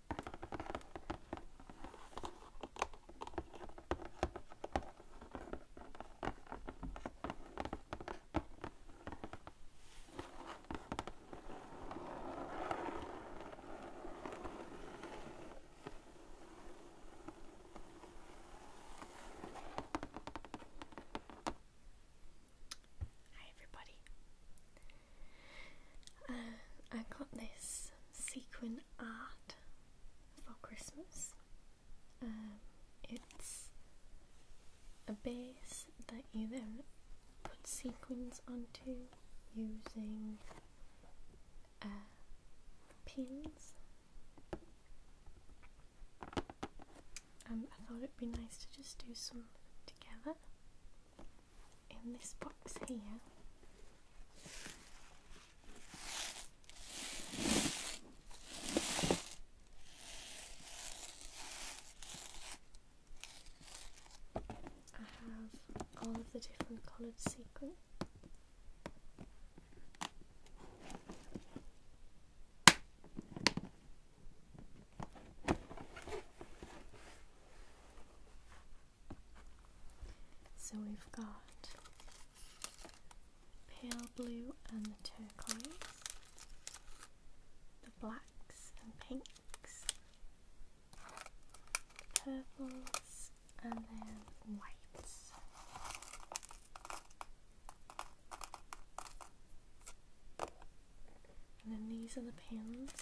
Hi everybody. Uh, I got this sequin art for Christmas. Um, it's a base that you then put sequins onto using uh, pins. Um, I thought it'd be nice to just do some together in this box here. I have all of the different coloured sequins. So we've got pale blue and the turquoise, the blacks and pinks, purples and then whites. And then these are the pins.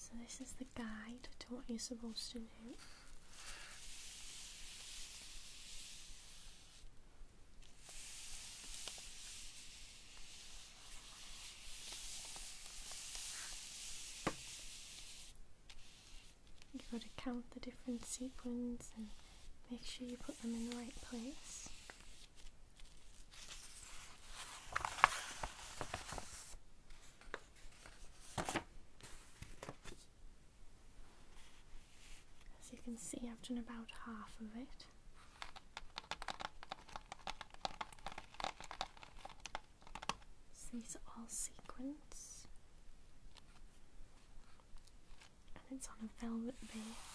So, this is the guide to what you're supposed to do. You've got to count the different sequins and make sure you put them in the right place. As you can see, I've done about half of it these are all sequins, and it's on a velvet base.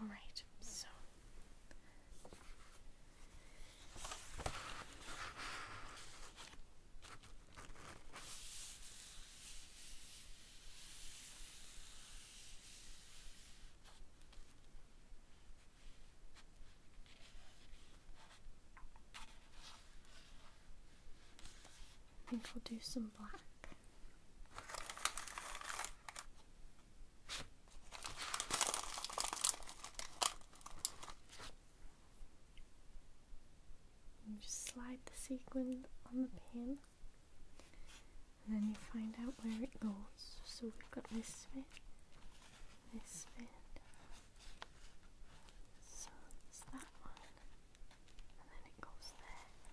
Alright, so I think I'll do some black. And just slide the sequin on the pin, and then you find out where it goes. So we've got this bit, this bit, so that one, and then it goes there.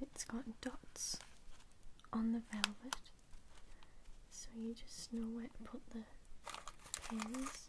It's got dots on the velvet, so you just know where to put the pins.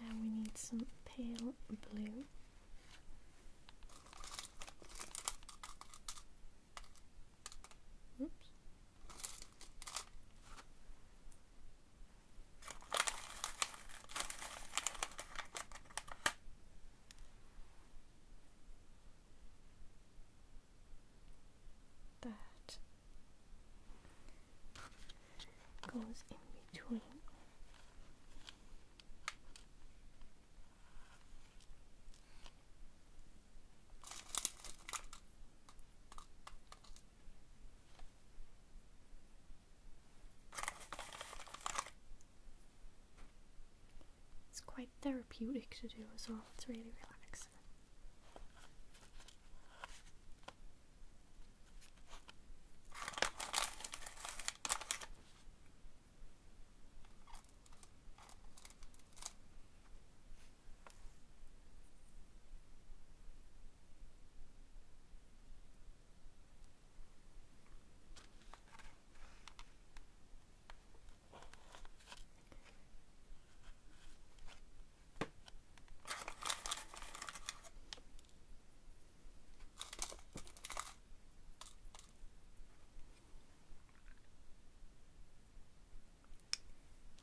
now we need some pale blue. Oops that goes in between. It's quite therapeutic to do as well, it's really relaxing.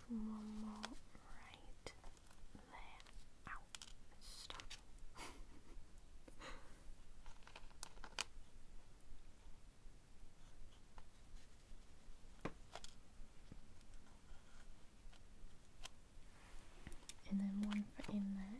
One more right. Stop. and then one in there.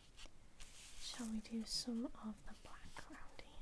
Shall we do some of the black grounding? here?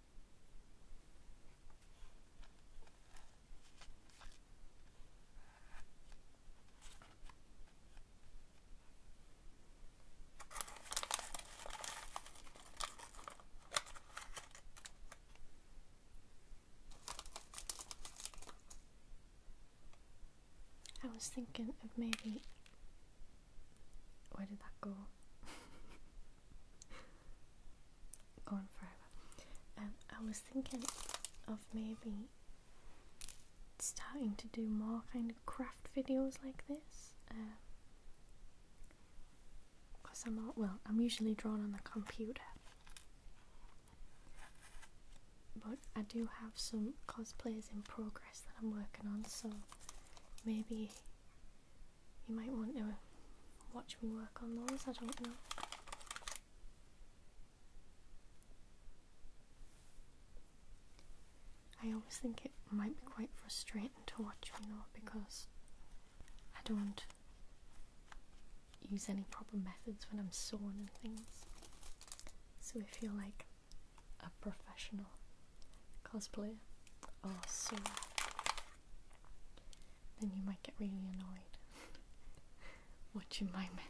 I was thinking of maybe. Where did that go? gone forever. And um, I was thinking of maybe starting to do more kind of craft videos like this. Because um, I'm not, well, I'm usually drawn on the computer. But I do have some cosplayers in progress that I'm working on, so maybe you might want to watch me work on those, I don't know. I always think it might be quite frustrating to watch me though because I don't use any proper methods when I'm sewing and things. So I feel like a professional cosplayer or sewer, then you might get really annoyed watching my methods.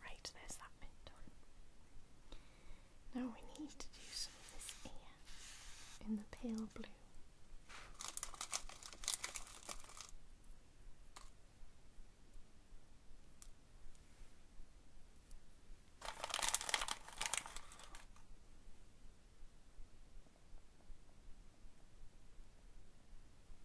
Right, there's that bit Now we need to do some of this here in the pale blue.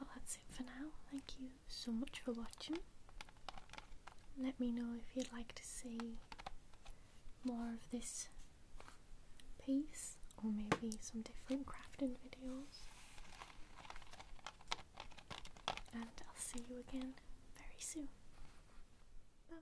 Well, that's it for now. Thank you so much for watching. Let me know if you'd like to see more of this Peace, or maybe some different crafting videos. And I'll see you again very soon. bye.